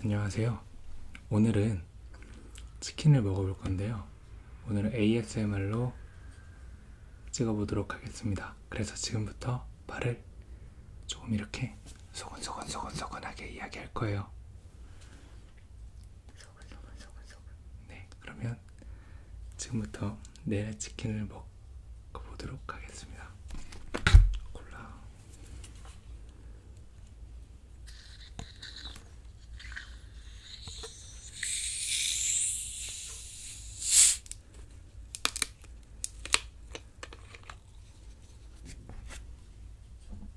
안녕하세요. 오늘은 치킨을 먹어볼 건데요. 오늘은 ASMR로 찍어보도록 하겠습니다. 그래서 지금부터 발을 조금 이렇게 소곤소곤소곤소곤하게 이야기할 거예요. 소금 소금 소금 소금 네 그러면 지금부터 내일 치킨을 먹어보도록 하겠습니다 콜라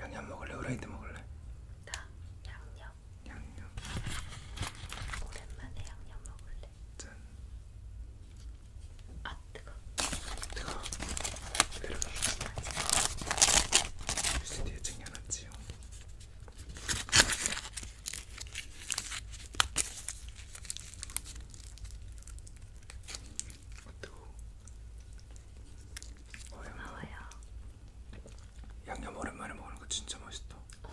양념 먹을래? 후라이드 먹을래? 나 양념 양념 오랜만에 양념 먹을래 짠아 뜨거. 뜨거. 내려가. UCD에 챙겨놨지요. 아 뜨거. 고마워요. 양념 오랜만에 먹는 거 진짜 맛있다. 어.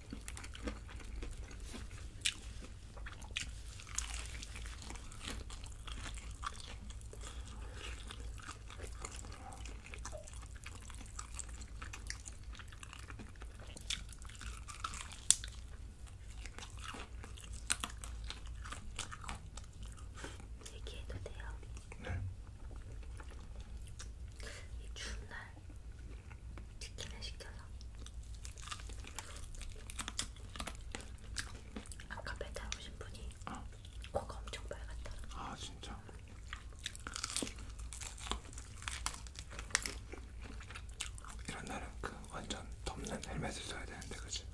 얘기해도 돼요? 네. 이 추운 날 치킨을 시켜서 아까 배달 오신 분이 어. 코가 엄청 빨갛더라. 아 진짜. 이런 날은 그 완전 덮는 헬멧을 써야 되는데 그치?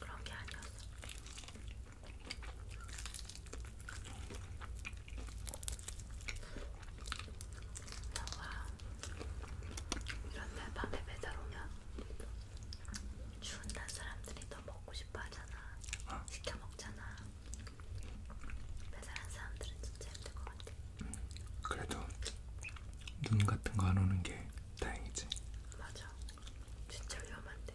그런 게 아니었어. 너가 이런 날 밤에 배달 오면 추운 날 사람들이 더 먹고 싶어 하잖아. 어? 시켜 먹잖아. 배달한 사람들은 진짜 힘들 것 같아. 음, 그래도 눈 같은 거 안 오는 게 다행이지. 맞아. 진짜 위험한데.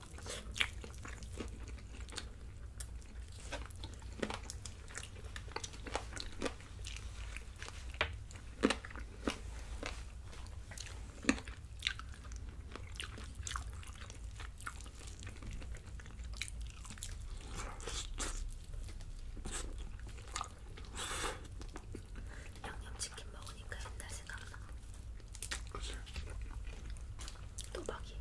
양념치킨 먹으니까 옛날 생각나. 또박이.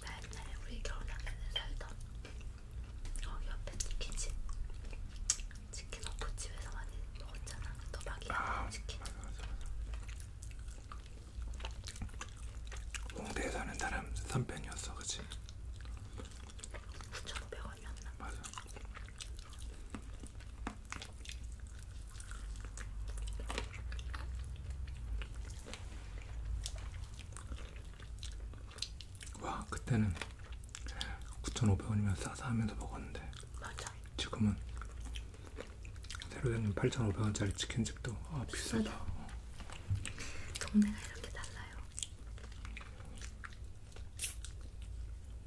나 옛날에 우리 결혼하기 전에 살던 어, 옆에 치킨집 치킨 오프집에서 많이 먹었잖아. 또박이랑 아, 치킨. 맞아, 맞아, 맞아. 홍대에 사는 사람 3편이었어, 그치? 9,500원이었나? 맞아. 와 그때는 9,500원이면 싸서 하면서 먹었는데 맞아. 지금은 새로 생긴 8,500원짜리 치킨집도 아 비싸다. 비싸다. 어. 동네가 이렇게 달라요.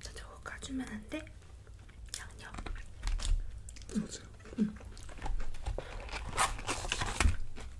자, 저거 까주면 안 돼? 양념. 그러세요. 응.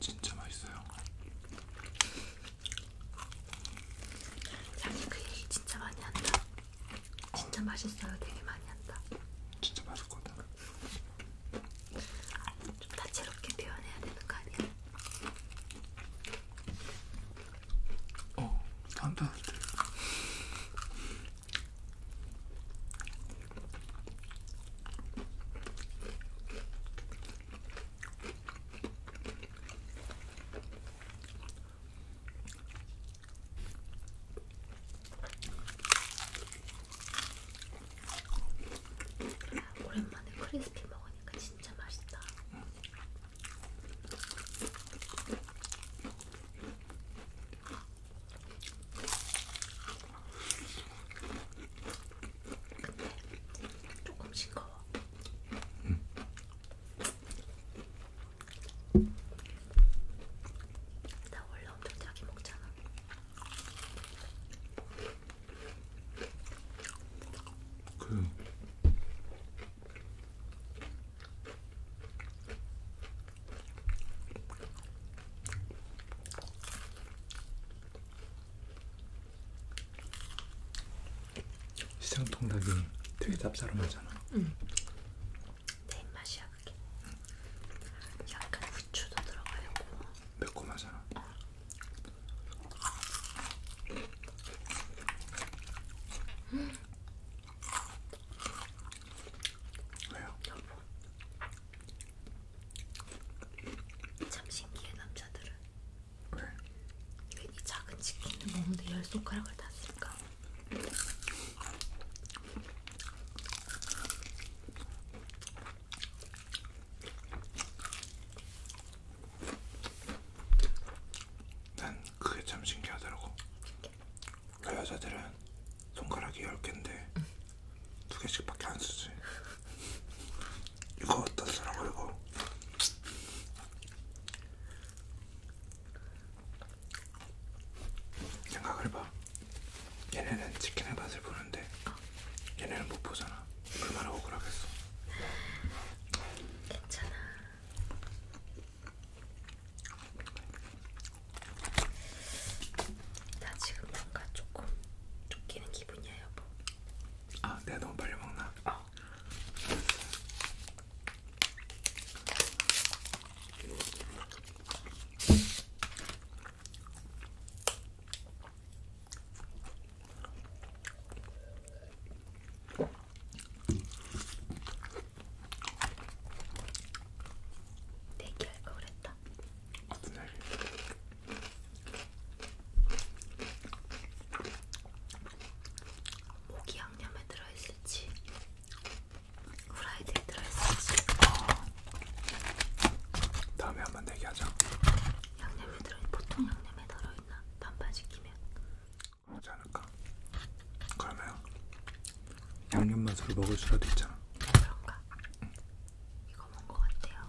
진짜 맛있어요. 자기 그 얘기 진짜 많이 한다. 진짜 어. 맛있어요. 되게 많이 한다. 진짜 맛있거든. 좀 다채롭게 표현해야 되는 거 아니야? 어, 한다. 오랜만에 크리스피 먹으니까 진짜 맛있다. 조금 싱거워. 음. 나 원래 엄청 자기 먹잖아. 그 시장 통닭이 되게 짭짤하잖아. 응. 내 맛이야 그게. 약간 후추도 들어가요. 매콤하잖아. 어. 음. 왜요? 여보, 참 신기해 남자들은 왜? 이 작은 치킨을 먹는데 열 손가락을 다 쓸까? 난 그게 참 신기하더라고. 그 여자들은 손가락이 10개인데 응. 두 개씩밖에 안 쓰지. 이거 어떤 사람 이거? 생각을 봐. 얘네는 치킨의 맛을 보는데 얘네는 못 보잖아. 얼마나 억울하겠어. 괜찮아. 나 지금 뭔가 조금 쫓기는 기분이야 여보. 아, 내가 너무 빨리 먹나? 아. 대기할 거 그랬다. 어떤 날이 모기 양념에 들어있을지 후라이드에 들어있을지 아. 다음에 한번 얘기하자 양념이 들어있 보통 양념에 들어있나? 반반 시키면 그러지 않을까? 그러면 양념 맛으로 먹을 수라도 있잖아 아, 그런가? 응. 이거 뭔거 같아요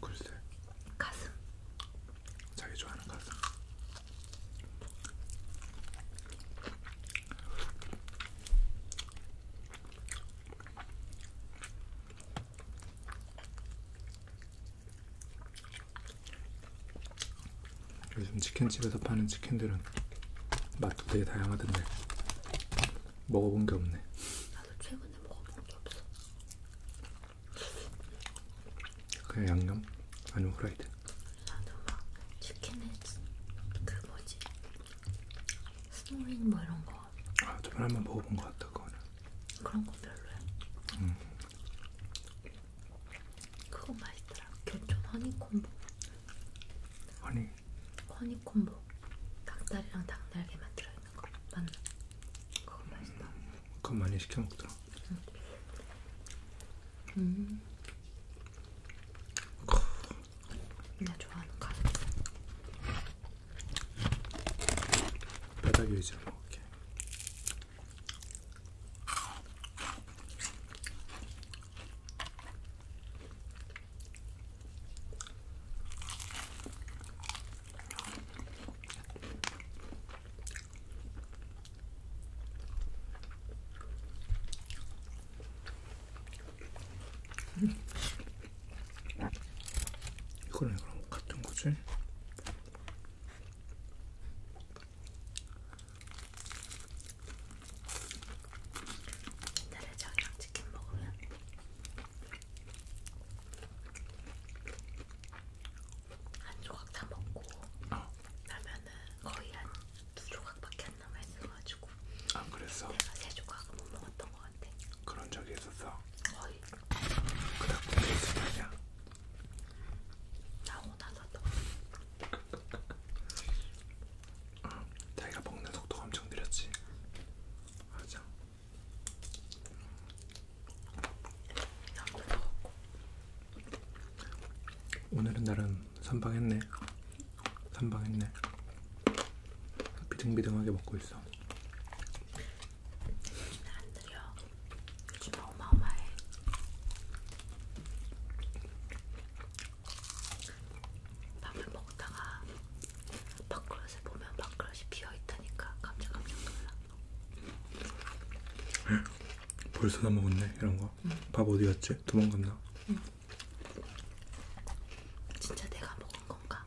글쎄. 가슴. 자기 좋아하는 가슴. 요즘 치킨집에서 파는 치킨들은 맛도 되게 다양하던데 먹어본 게 없네. 나도 최근에 먹어본 게 없어. 그냥 양념 아니면 후라이드. 나도 막 치킨에 그 뭐지 스노링 뭐 이런 거. 아 저번에 한번 먹어본 것 같다 그거는. 그런 거 별로야. 음. 그거 맛있더라. 교촌 허니콤보. 허니 허니콤보 닭다리랑 닭날개만 들어있는 거 맞나? 그거 맛있다. 그거 많이 시켜 먹더라. 응. 음. 나 좋아하는 가슴. 바닥 위에서 먹을게. 이거는 그럼 같은 거지? 옛날에 저희랑 치킨 먹으면 한 조각 다 먹고 어. 나면은 거의 한 두 조각밖에 안 남아 있어가지고 안 아, 그랬어? 내가 세 조각은 못 먹었던 것 같아. 그런 적이 있었어? 거의. 그다 군대 있을 때냐? 나고 나서 또. 응. 자기가 먹는 속도가 엄청 느렸지. 맞아. 오늘은 나름 선방했네. 선방했네. 비등비등하게 먹고 있어. 안 느려. 요즘 어마어마해. 밥을 먹다가 밥그릇을 보면 밥그릇이 비어있다니까 깜짝깜짝 놀라 벌써 다 먹었네 이런거 응. 밥 어디갔지? 도망갔나? 응. 진짜 내가 먹은건가?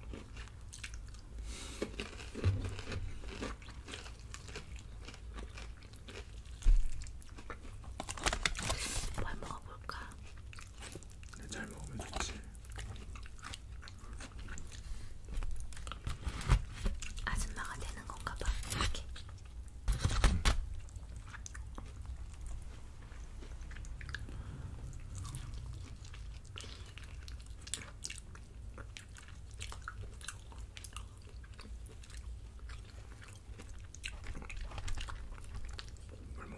뭘 먹어볼까? 네, 잘 먹으면 좋지. 아줌마가 되는 건가 봐. 이렇게. 음. 물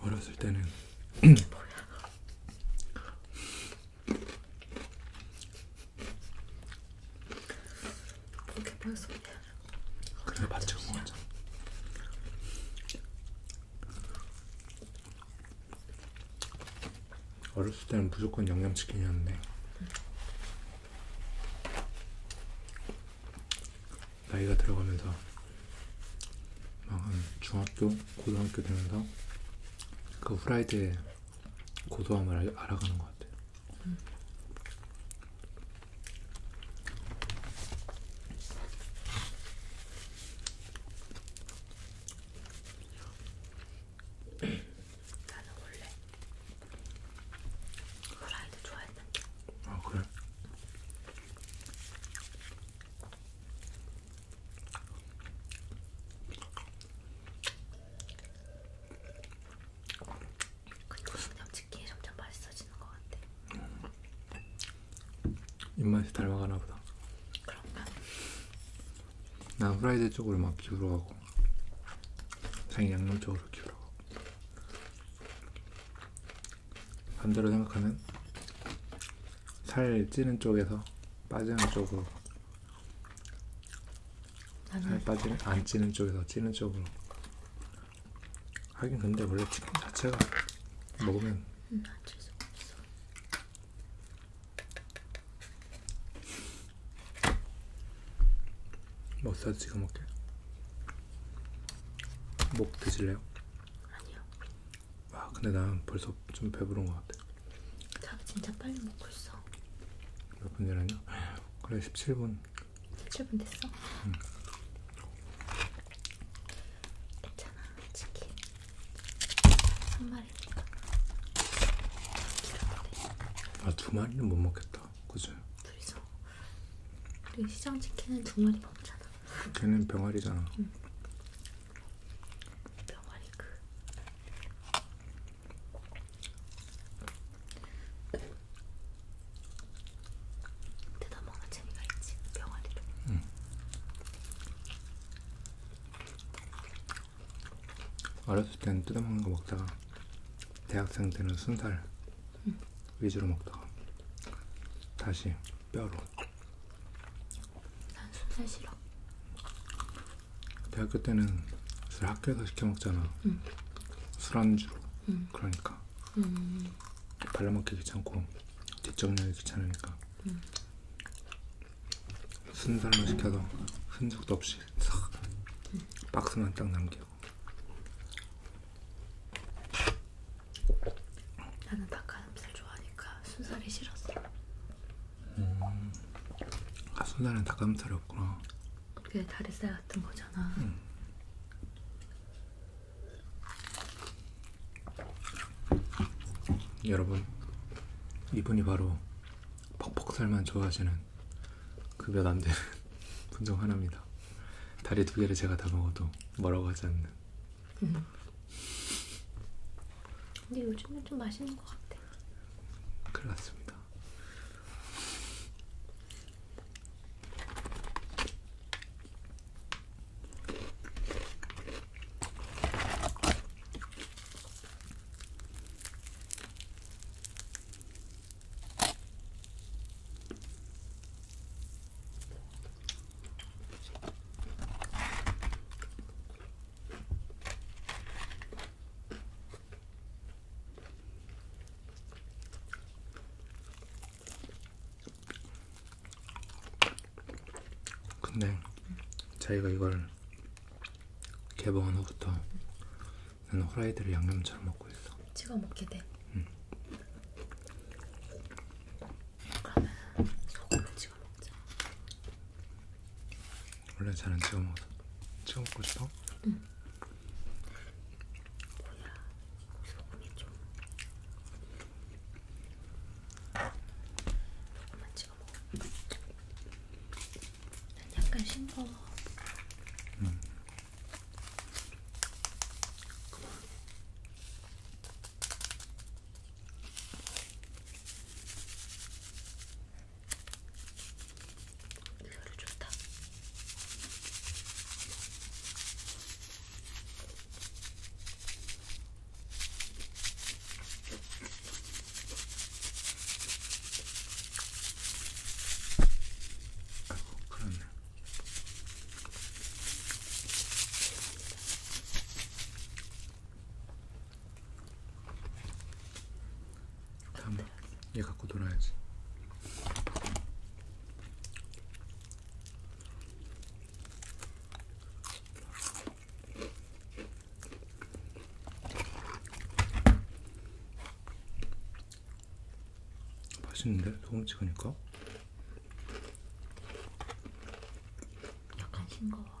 어렸을 때는 이게 벌써 그래 맞죠 맞죠 어렸을 때는 무조건 양념치킨이었는데 나이가 들어가면서 막한 중학교, 고등학교 되면서 그 후라이드의 고소함을 알, 아가는것 같아요. 음. 나는 원래 후라이드 좋아했는데. 아 그래? 근데 그냥 치킨이 점점 맛있어지는 것 같아. 음. 입맛이 닮아가나 보다. 그런가? 나 후라이드 쪽으로 막 기울어 가고 자기 양념 쪽으로 기울어 가고 반대로 생각하면 살 찌는 쪽에서 빠지는 쪽으로 살 빠지는 안 찌는 쪽에서 찌는 쪽으로 하긴 근데 원래 치킨 자체가 먹으면 음, 아, 머사지 찍어 먹게. 목 드실래요? 아니요. 와 근데 난 벌써 좀 배부른 것 같아. 밥 진짜 빨리 먹고 있어. 몇분 전에요? 그래 17분. 17분 됐어? 응. 괜찮아 치킨 한 마리. 마리. 아, 나두 마리는 못 먹겠다. 그죠? 둘이서. 우리 시장 치킨은 두 마리 먹잖아. 걔는 병아리잖아. 응. 병아리 그. 뜯어 먹는 재미가 있지. 병아리도. 응. 어렸을 때는 뜯어먹는 거 먹다가 대학생 때는 순살 응. 위주로 먹다가 다시 뼈로 난 순살 싫어 대학교 때는 술 학교에서 시켜 먹잖아 응. 술안주로 응. 그러니까 음. 발라먹기 귀찮고 뒷정리하기 귀찮으니까 순살로 시켜서 흔적도 없이 싹 박스만 딱 남기고 나는 닭가슴살 좋아하니까 순살이 싫었어 음, 아 순살은 닭가슴살이 없구나 그게 다리살 같은 거잖아 음. 여러분 이분이 바로 퍽퍽살만 좋아하시는 그몇 안되는 분중 하나입니다. 다리 두 개를 제가 다 먹어도 뭐라고 하지 않는. 음. 근데 요즘은 좀 맛있는 것 같아. 그렇습니다. 근데 자기가 이걸 개봉한 후부터 나는 후라이드를 양념처럼 먹고 있어. 찍어 먹게 돼. 응. 그러면 소금을 찍어 먹자. 원래 잘안 찍어 먹어. 찍어 먹고 싶어? 응. 뭐야 소금이 좀. 소금만 찍어 먹어. 난 약간 싱거워. 음. 그만. 이 소리 좋다. 아이고, 큰일 났네. 다음에 얘 갖고 놀아야지. 맛있는데 소금 찍으니까 약간 싱거워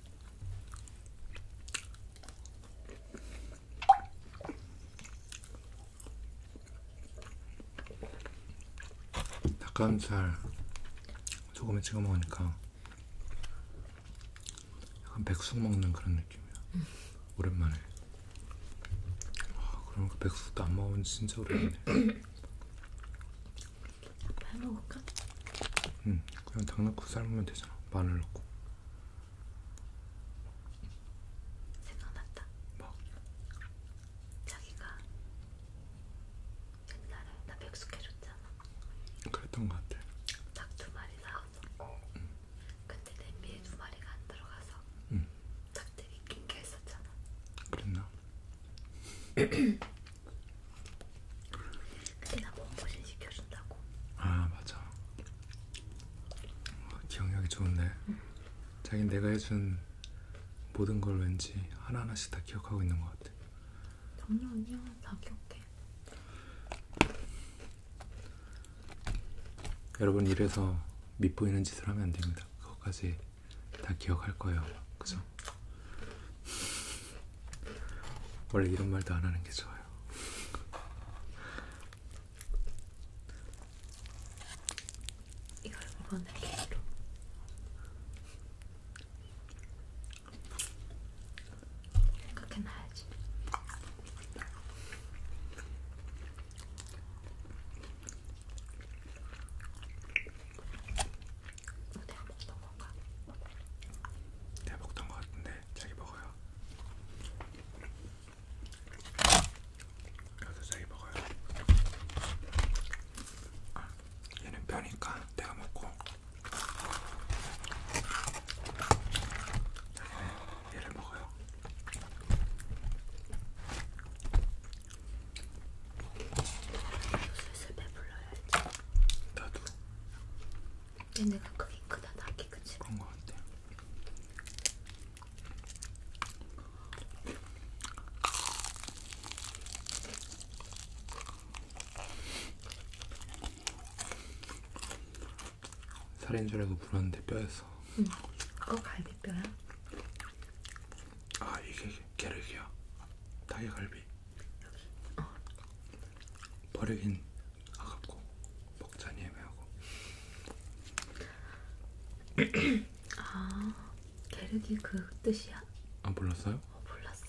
닭가슴살 소금에 찍어 먹으니까 약간 백숙 먹는 그런 느낌이야. 음. 오랜만에. 와, 아, 그러니까 백숙도 안 먹은 지 진짜 오래됐네. 한번 해먹을까? 응, 그냥 닭넣고 삶으면 되잖아. 마늘 넣고. 생각났다. 뭐? 자기가 옛날에 나 백숙 해줬잖아. 그랬던 것 같아. 닭 두 마리 나왔어. 응. 근데 냄비에 두 마리가 안 들어가서 응. 닭들이 낀게 있었잖아. 그랬나? 근데 나 몸보신 시켜준다고. 아 맞아. 와, 어, 기억력이 좋은데. 응. 자긴 내가 해준 모든 걸 왠지 하나 하나씩 다 기억하고 있는 것 같아. 아니야 아니야 다 기억해. 여러분 이래서 밉보이는 짓을 하면 안 됩니다. 그것까지 다 기억할 거예요. 그죠? 원래 이런 말도 안 하는 게 좋아요. 이걸 물어내기로. 생각해놔야지. 내가 먹던 건가? 내가 먹던 거 같은데 자기 먹어요. 여기서 자기 먹어요. 아, 얘는 뼈니까 내가 먹고 자기는 얘를 먹어요. 슬슬 배불러야지. 나도. 얘네가 크긴 크다, 나기 그치? 그런 거 같아. 살인 줄 알고 물었는데 뼈였어. 응. 그거 갈비뼈야? 아 이게 게르기야. 닭의 갈비. 여기 어. 버리긴 아깝고 먹자니 애매하고 아 게르기 그 뜻이야? 아 몰랐어요? 어 몰랐어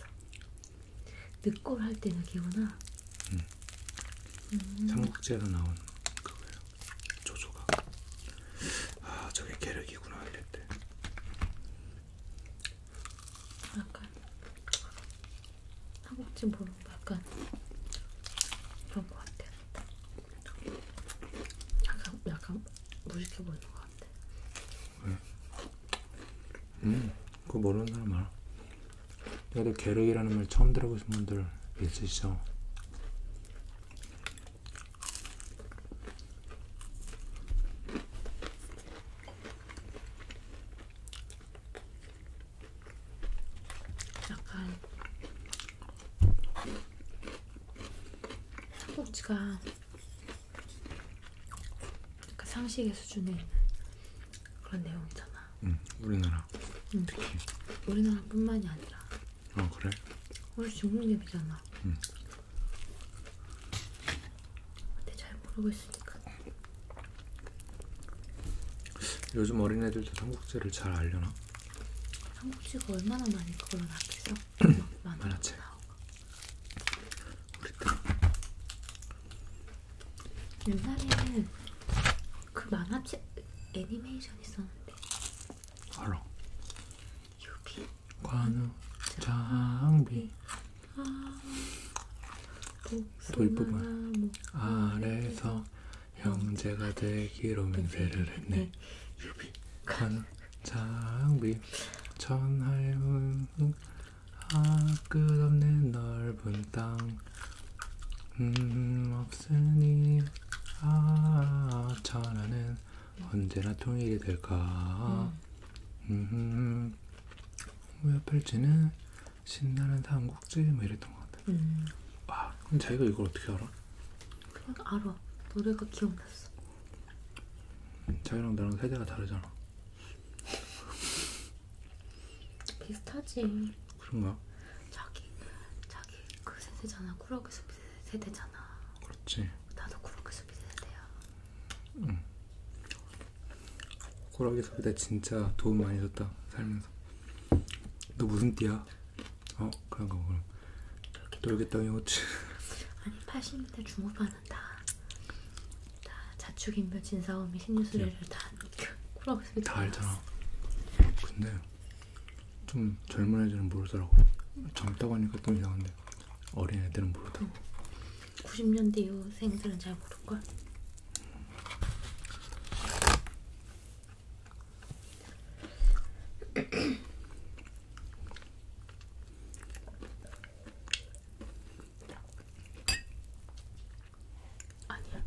늦골 할때 느끼구나 응 음. 삼국지에서 나온 그거예요 조조가 아 저게 게르기구나 이랬대 약간 한국집 모르고 약간 그런 것 같아. 약간 약간 무식해 보이는 것 같아. 왜? 음, 그거 모르는 사람 알아. 그래도 계륵이라는 말 처음 들어보신 분들 있으시죠? 약간 삼국지가 약간 상식의 수준에 있는 그런 내용이잖아. 응, 우리나라. 응. 특히. 우리나라뿐만이 아니라. 아 그래? 우리 중국 얘기잖아. 응. 근데 잘 모르고 있으니까. 요즘 어린애들도 삼국지를 잘 알려나? 삼국지가 얼마나 많이 그걸 알겠어? 만화책. 우리 때. 옛날에는 그 만화책 애니메이션 있었는데. 알아. 네. 네. 유비 관우 장비 돌부분 아래에서 형제가 되기로 맹세를 했네 유비 관우 장비 천하의 아 끝없는 넓은 땅 음, 없으니 아 천하는 언제나 통일이 될까? 음. 음. 팔찌는 뭐 신나는 삼국지 뭐 이랬던 것 같아. 음. 와, 그럼 자기가 이걸 어떻게 알아? 그냥 알아. 노래가 기억났어. 자기랑 나랑 세대가 다르잖아. 비슷하지. 그런가? 자기 자기 그 세대잖아. 꾸러기 수비 세대잖아. 그렇지. 나도 꾸러기 수비 세대야. 응. 호락이 소리다 진짜 도움 많이 줬다 살면서 너 무슨 띠야? 어 그런가 그럼 돌겠다니 호치 아니 80m 중후반은 다, 다 자축인묘 진사오미 신유수리를 네. 다 호락이 소리 다 알잖아 나왔어. 근데 좀 젊은 애들은 모르더라고 젊다고 하니까 좀 이상한데 어린애들은 모르더라고. 90년대 이후생들은 잘 모를걸? 아니야.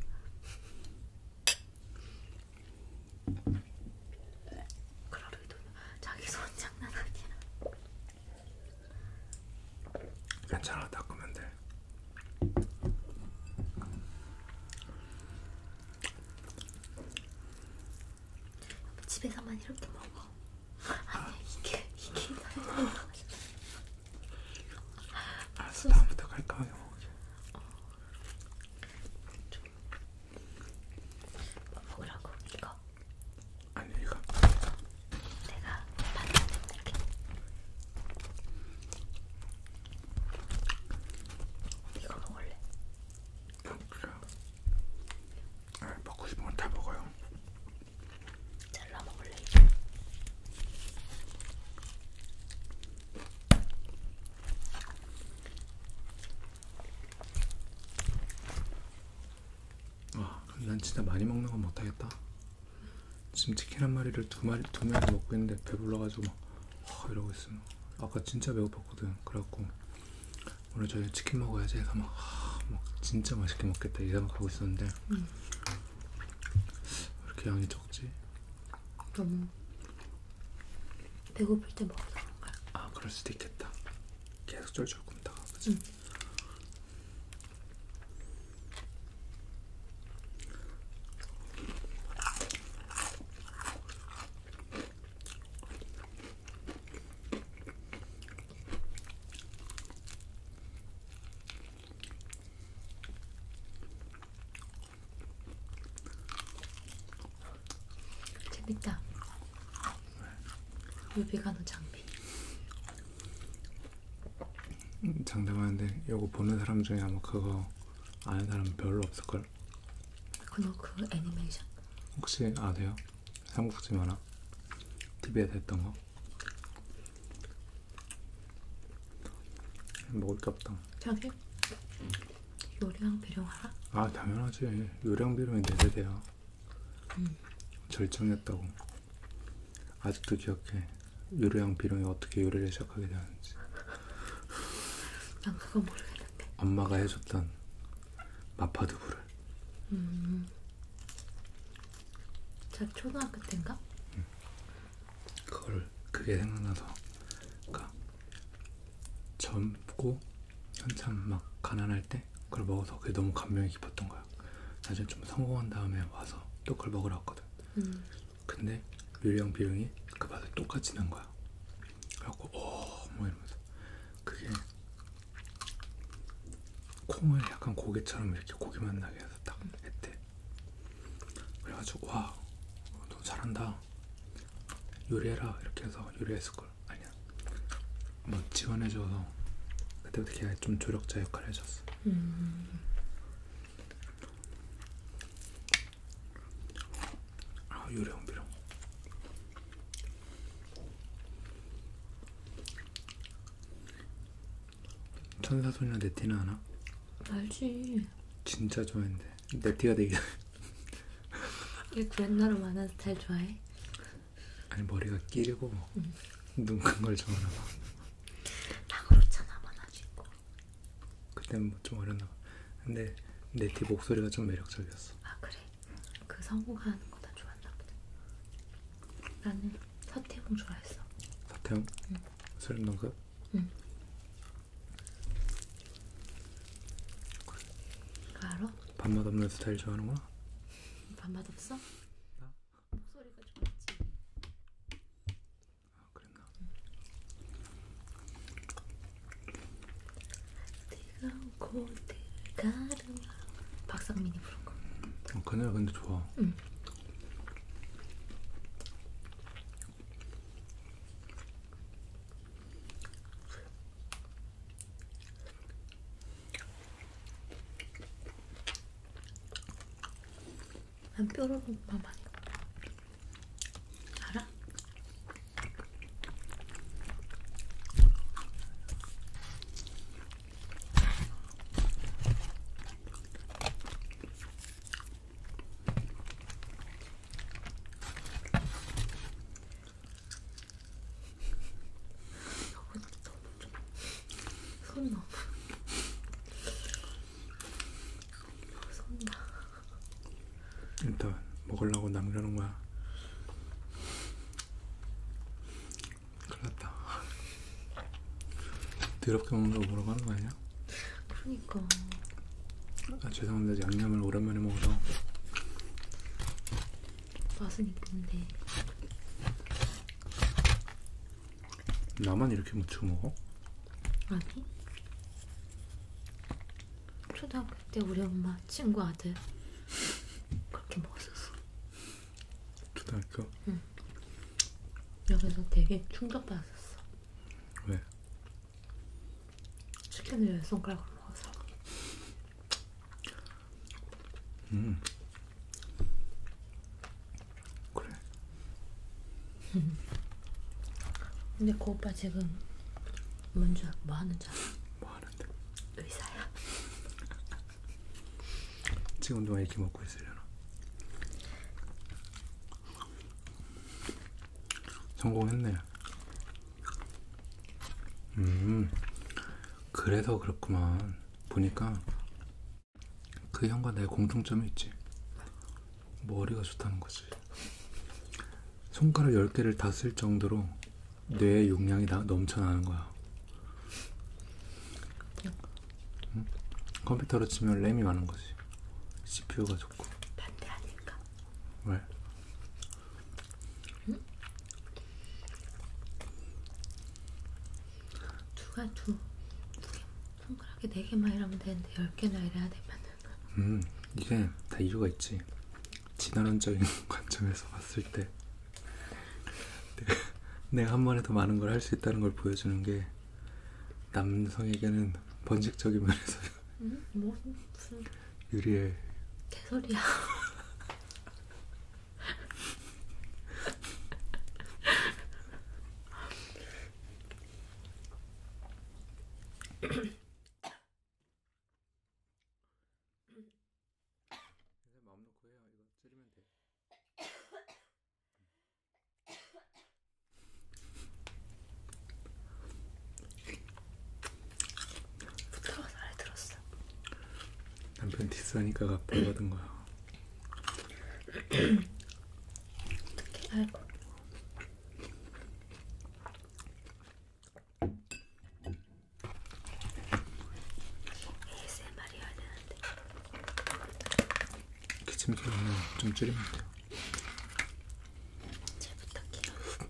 그러려도 자기 손 장난 아니야. 괜찮아 닦으면 돼. 집에서만 이렇게 먹어. 아. 아니야 이게 이게 나요. 알았어 다음부터 갈까요? 어. 좀 먹으라고 이거 이거. 아니 이거. 내가 반찬 이렇게. 이거 먹을래? 아, 그래. 아, 먹고 싶은 건 다 먹어요. 잘라 먹을래? 아 그럼 난 진짜 많이 먹는 건 못하겠다 지금 치킨 한 마리를 두 마리 두 명이 먹고 있는데 배불러가지고 막 허, 이러고 있으면 아까 진짜 배고팠거든 그래갖고 오늘 저녁 치킨 먹어야지 해서 막, 하, 막 진짜 맛있게 먹겠다 이 생각하고 있었는데 음. 왜 이렇게 양이 적지? 너무 배고플 때 먹어서 그런가? 아 그럴 수도 있겠다 계속 쫄쫄 굶다가 그치? 음. 재밌다. 유비가노 장비. 장담하는데 이거 보는 사람 중에 아마 그거 아는 사람 별로 없을걸? 그거 그 애니메이션? 혹시 아세요? 삼국지 만화? TV에서 했던 거? 먹을 게 없다 자기 요리랑 비룡 알아? 아 당연하지 요리랑 비룡이 내세대야 네 음. 절정이었다고. 아직도 기억해. 요리랑 비룡이 어떻게 요리를 시작하게 되었는지. 난 그건 모르겠는데. 엄마가 해줬던 마파두부를. 음. 제가 초등학교 때인가? 응. 그걸 그게 생각나서, 그러니까 젊고 한참 막 가난할 때 있는데 그걸 먹어서 그게 너무 감명이 깊었던 거야. 나중에 좀 성공한 다음에 와서 또 그걸 먹으러 왔거든. 음. 근데 묘령 비룡이 그 맛을 똑같이 난 거야. 그래갖고 어 뭐 이러면서 그게 콩을 약간 고기처럼 이렇게 고기만 나게 해서 딱 했대. 그래가지고 와너 잘한다. 요리해라 이렇게 해서 요리했을 걸. 아니야 뭐 지원해줘서 그때부터 걔가 좀 조력자 역할을 해줬어. 음. 아 요령 비룡. 천사소녀 네티는 아나? 알지. 진짜 좋아했는데 네티가 되게. 얘그 옛날에 만화스타일 좋아해? 아니 머리가 길고 응. 눈큰 걸 좋아하나 봐. 다 그렇잖아, 많아지고. 뭐. 그때는 뭐 좀 어렸나 봐. 근데 네티 목소리가 좀 매력적이었어. 아 그래? 그 성공하는 거나 좋았나 보다. 나는 서태웅 좋아했어. 서태웅? 응. 소름 돋았어? 응. 그거 알아? 밥맛 없는 스타일 좋아하는구나. 밥맛 없어? 나? 목소리가 좋았지. 아 그랬나? 뜨거운 코드 가르마. 박상민이 부른 거. 어, 그 노래 근데 좋아. 응. 난 뾰로롱 맘 아니야. 알아? 나 진짜 손이 너무 손나 일단 먹으려고 남겨놓은 거야 큰일났다 더럽게 먹는 거 뭐라고 하는 거 아니야? 그러니까 아 죄송합니다 양념을 오랜만에 먹어서 맛은 이쁜데 나만 이렇게 무쳐 먹어? 아니 초등학교 때 우리 엄마 친구 아들 그렇게 먹었었어 초등학교? 응 여기서 되게 충격받았었어 왜? 치킨을 열 손가락으로 먹어서 음. 그래. 근데 그 오빠 지금 뭔지 뭐 하는 줄 알아? 뭐 하는데? 의사야. 지금 동안 이렇게 먹고 있으려나? 성공했네. 음. 그래서 그렇구만. 보니까 그 형과 나의 공통점이 있지. 머리가 좋다는 거지. 손가락 10개를 다 쓸 정도로 뇌의 용량이 다 넘쳐나는 거야. 응? 컴퓨터로 치면 램이 많은 거지. CPU가 좋고. 반대 아닐까? 왜? 두가 두, 두개 손가락에 네 개만 이러면 되는데 열 개나 이래야 되면은. 음 이게 다 이유가 있지. 진화론적인 관점에서 봤을 때 내가, 네. 내가 한 번에 더 많은 걸 할 수 있다는 걸 보여주는 게 남성에게는 번식적인 면에서. 음? 뭐 무슨 유리에 개소리야. 부드러워서 잘 들었어. 남편 디스하니까 갑박받은 거야. 어떻게 알고? ASMR이어야 되는데. 기침 소리는 좀 줄이면 돼요. 잘 부탁해요.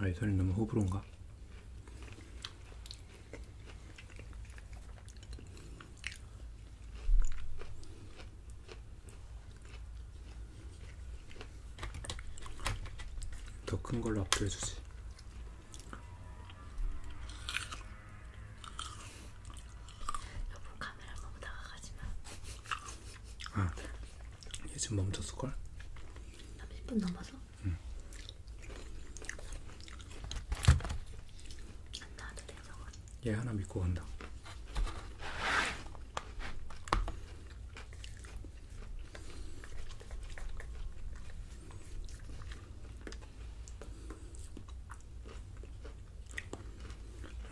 아이 소리 너무 호불호인가? 더큰 걸로 압도해 주지. 여보 카메라 너무 다가가지 마. 아, 얘 지금 멈췄을 걸? 30분 넘어서? 응. 안 나와도 돼 저건. 얘 하나 믿고 간다.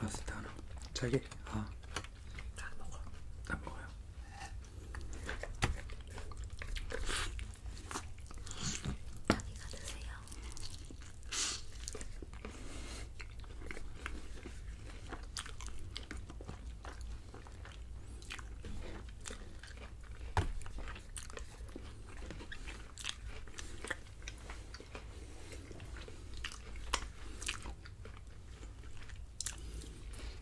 라스트 하나 자기 아. 다 먹어. 다 먹어요. 자기가 드세요.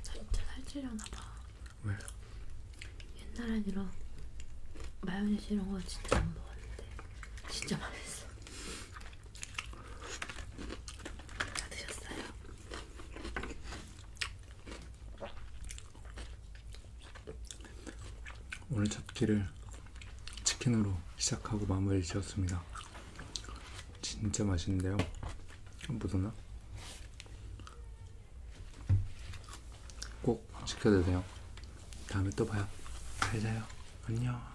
진짜 살찌려나봐. 왜? 옛날엔 이런 마요네즈 이런 거 진짜 안 먹었는데 진짜 맛있어. 다 드셨어요? 오늘 잡기를 치킨으로 시작하고 마무리 지었습니다. 진짜 맛있는데요. 묻었나? 꼭 지켜드세요. 다음에 또 봐요. 잘 자요. 안녕.